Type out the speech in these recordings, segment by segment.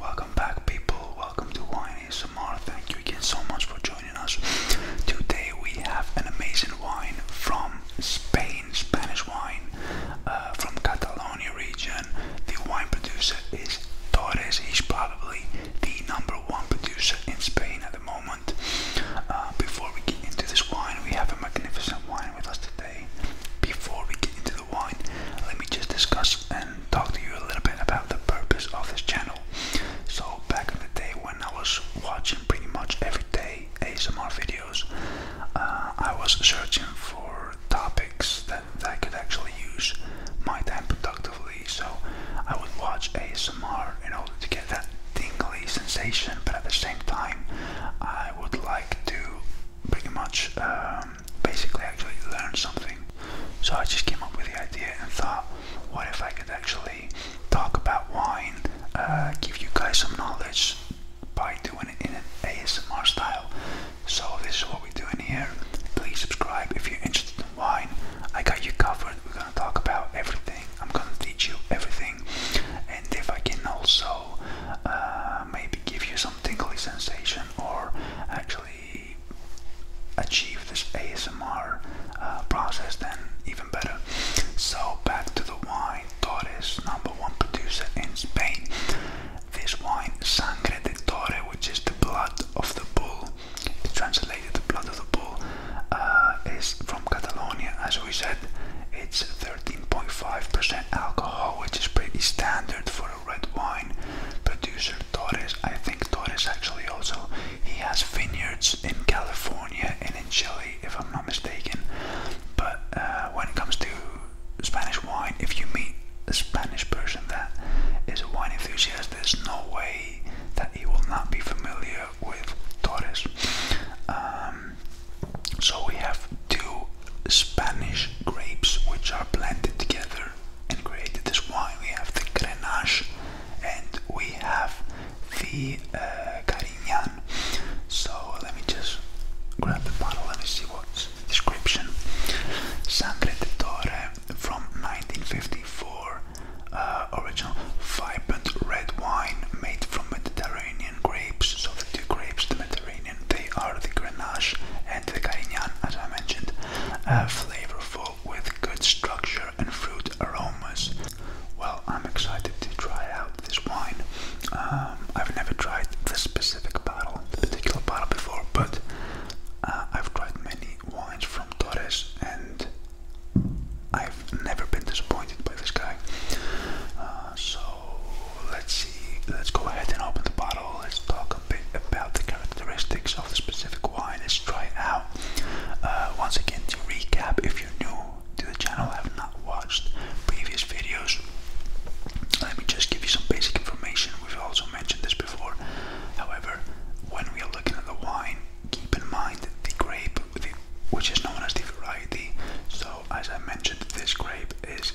Welcome back, people. Welcome to Wine ASMR. Thank you again so much for joining us. Today we have an amazing wine from Spain, Spanish wine uh, from Catalonia region. The wine producer is Torres. He's probably the number one producer in Spain at the moment. Uh, before we get into this wine, we have a magnificent wine with us today. Before we get into the wine, let me just discuss. Uh, talk to you a little bit about the purpose of this channel. So back in the day when I was watching pretty much every day ASMR videos, uh, I was searching for topics that, I could actually use my time productively. So I would watch ASMR in order to get that tingly sensation, but at the same time, I would like to pretty much um, um, basically actually learn something. So I just came up with the idea and thought, what if I could actually talk about wine, uh, give you guys some knowledge by doing it in an ASMR style. So this is what we're doing here. Please subscribe if you're interested in wine. I got you covered. We're gonna talk about everything. I'm gonna teach you everything, and if I can also uh, maybe give you some tingly sensation or actually achieve this ASMR uh, process, then even better. So, back to the wine. Torres, number one producer in Spain. This wine, Sangre de Torre, which is the blood of the bull, translated the blood of the bull, uh, is from Catalonia, as we said. It's 13.5% alcohol, which is pretty standard for red wine producer Torres. I think Torres actually also he has vineyards in California and in Chile, if I'm not mistaken. But uh, when it comes to Spanish wine, if you meet a Spanish person that is a wine enthusiast, there's no way that he will not be familiar with Torres. Um, so we have two Spanish grapes which are blended together and created this wine. We have the Grenache and we have the uh, Carignan. So let me just grab the bottle. Let me see what's description. Sangre de Toro from 1954. Uh, original vibrant red wine made from Mediterranean grapes. So the two grapes, the Mediterranean they are the Grenache and the Carignan, as I mentioned, uh, flavorful with good structure and fruit aromas. Well, I'm excited to try out this wine. Um, I've never tried this specific bottle, this particular bottle before, but uh, I've tried many wines from Torres and I've never been disappointed by this guy. Uh, so let's see let's go ahead and open the bottle. Let's talk a bit about the characteristics of the specific wine. Let's try it out. Uh, once again, to recap, if you're new to the channel, have not watched previous videos, let me just give you some basic information. We've also mentioned this before. However, when we are looking at the wine, keep in mind the grape, which is known as the variety. So, as I mentioned, this grape is.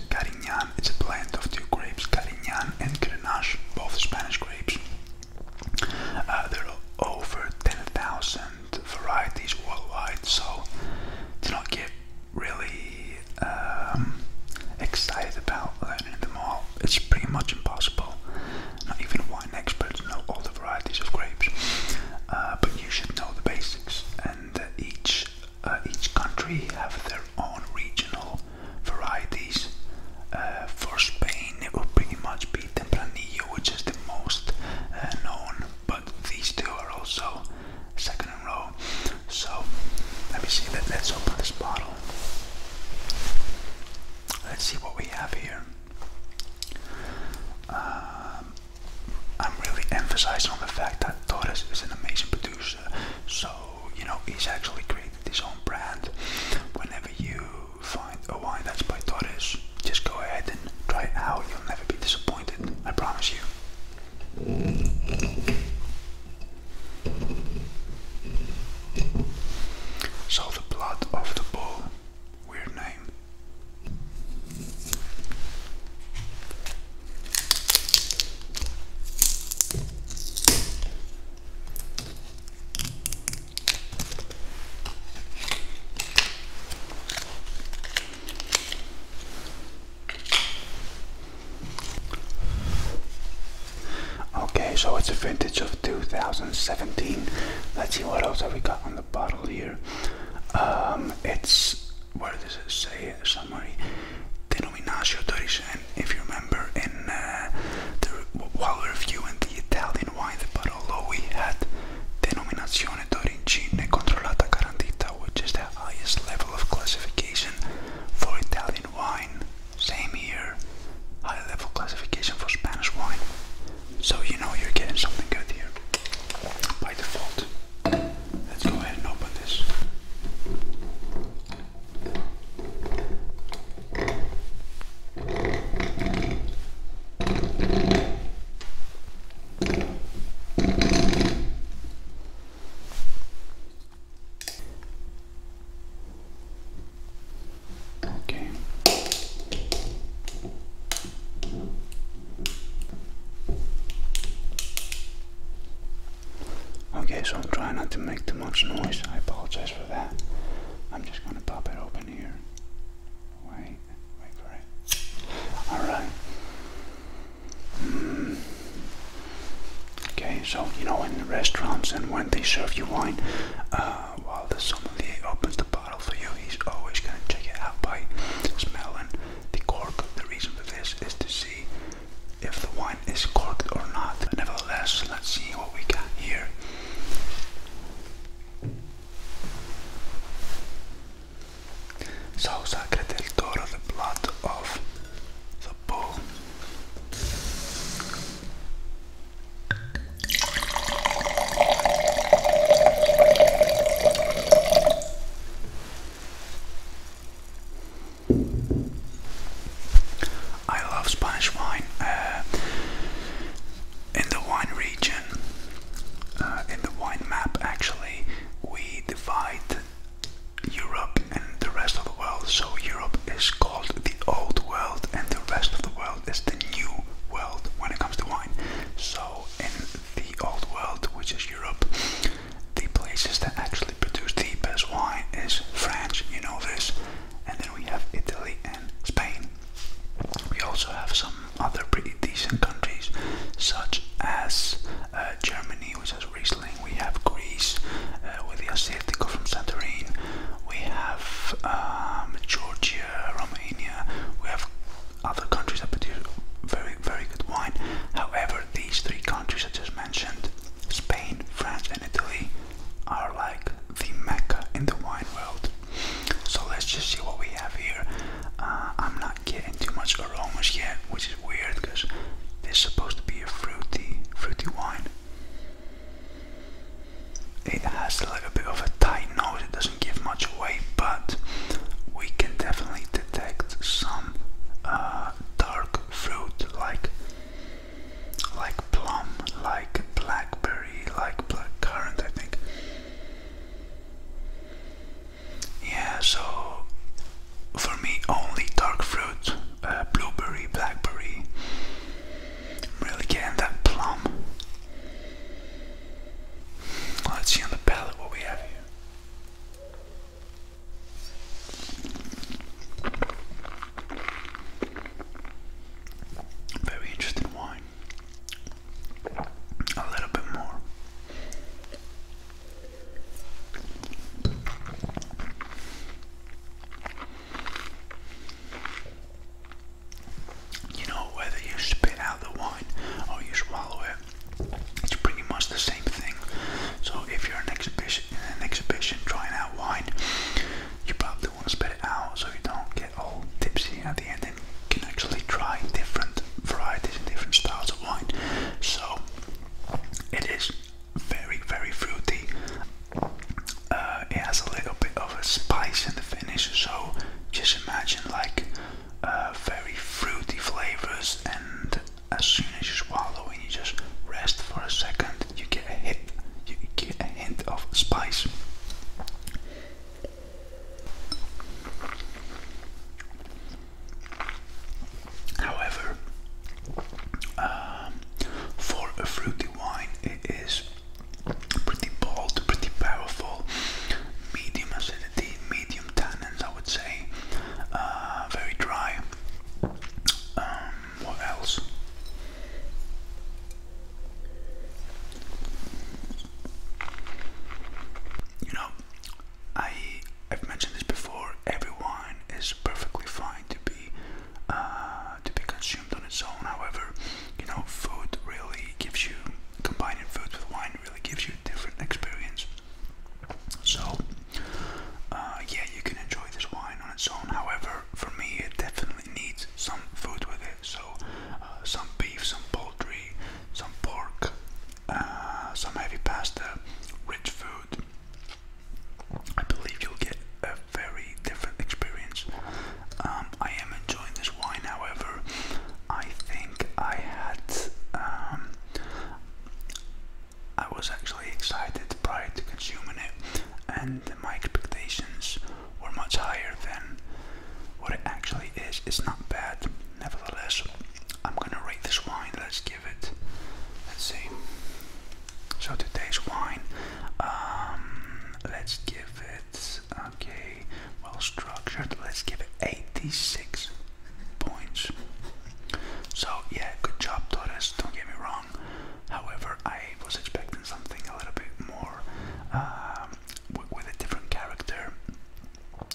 It's a blend of two grapes, Carignan and Grenache, both Spanish grapes. Uh, there are over 10,000 varieties worldwide, so do not get really um, excited about learning them all. It's pretty much impossible. Not even wine experts know all the varieties of grapes, uh, but you should know the basics. And each uh, each country have their own regional varieties. Uh, for Spain, it will pretty much be Tempranillo, which is the most uh, known, but these two are also second in row. So let me see Let's open this bottle. Let's see what we have here. Um, I'm really emphasizing on the fact that Torres is an amazing producer, so you know, he's actually created his own brand. Whenever you find a wine that's by Torres, just go ahead and try it out. You'll never be disappointed, I promise you. So, the blood of the bull, weird name. Okay, so it's a vintage of 2017. Let's see what else have we got on the bottle here. Um, it's where does it say Summary. Nominatio d'Oris, if you remember, in uh, the, while reviewing the Italian wine, the Barolo, we had Denominazione d'Origine Controllata Garantita, which is the highest level of classification for Italian wine. Same here, high level classification for Spanish wine. So you know you're getting something good here by default. Let's go ahead and open this. Okay. Okay, so I'm trying not to make too much noise. I apologize for that. I'm just gonna pop it open here. Wait, wait for it. Alright. Mm. Okay, so you know in the restaurants and when they serve you wine, uh, while the sommelier opens the bottle for you, he's always gonna check it out by smelling the cork. The reason for this is to see if the wine is corked or not. nevertheless, let's see what we got here. So Sacre Toro, the blood of the bull. I love Spanish wine. Uh, in the wine region, uh, in the wine map, actually, we divide Europe and the rest of the world. So Europe is called the Old World, and the rest of the world is the New World when it comes to wine. So in the Old World, which is Europe, the places that actually produce the best wine is France, you know this, and then we have Italy and Spain. We also have some other pretty decent countries, such as uh, Germany, which has Riesling. We have Greece uh, with the Assyrtiko from Santorini. We have um, Georgia, Romania. We have other countries that produce very, very good wine. However, these three countries I just mentioned, Spain, France, and Italy, are like the mecca in the wine world. So let's just see what we have here. Uh, I'm not getting too much aromas yet, which is weird because this is supposed to be a fruity, fruity wine. It has a little bit of a tight nose, it doesn't give much away, but we can definitely detect some uh, dark fruit like like plum, like blackberry, like blackcurrant, I think. Yeah, so for me, only dark fruit, uh, blueberry, blackberry. really getting that plum. Let's see on the palette what we have here. Very interesting wine. A little bit more. You know, whether you spit out the wine or you swallow it, it's pretty much the same thing. So if you're an exhibition, an exhibition trying out wine, you probably want to spread it out so you don't get all tipsy at the end and can actually try different varieties and different styles of wine. So it is very, very fruity. Uh, it has a little bit of a spice in the finish, so just imagine like uh, very fruity flavors and as soon as you swallow and you just rest for a second, you get a hit, you get a hint of spice. However, um, for a fruity wine, it is pretty bold, pretty powerful, medium acidity acidity, medium tannins, I would say. Uh, very dry. Um, what else? You know, I I've mentioned this before. Every wine is perfectly fine to be uh, to be consumed on its own. However, you know, food really gives you combining food with wine really gives you a different experience. So uh, yeah, you can enjoy this wine on its own. However, for me, it definitely needs some food with it. So, uh, some beef, some poultry, some pork, uh, some heavy pasta, rich food. I believe you'll get a very different experience. Um, I am enjoying this wine, however. I think I had. Um, I was actually excited prior to consuming it, and my expectations were much higher than what it actually is. It's not bad, nevertheless. I'm gonna rate this wine. Let's give it. Let's see. So today's wine. Um, let's give it. Okay, well structured. Let's give it 86 points. So, yeah, good job, Torres, don't get me wrong. However, I was expecting something a little bit more um, with a different character,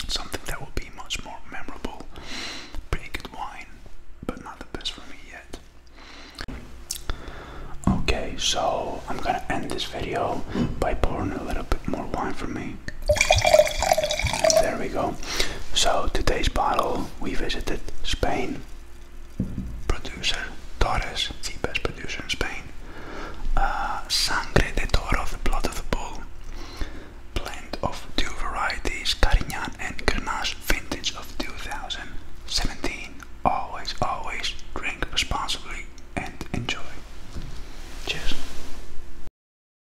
something that will be much more memorable. Pretty good wine, but not the best for me yet. Okay, so I'm gonna end this video by pouring a little bit more wine for me. There we go. So today's bottle we visited Spain. Producer Torres, the best producer in Spain. Uh, sangre de toro, the blood of the bull. Blend of two varieties, Carignan and Grenache, vintage of 2017. Always, always drink responsibly and enjoy. Cheers.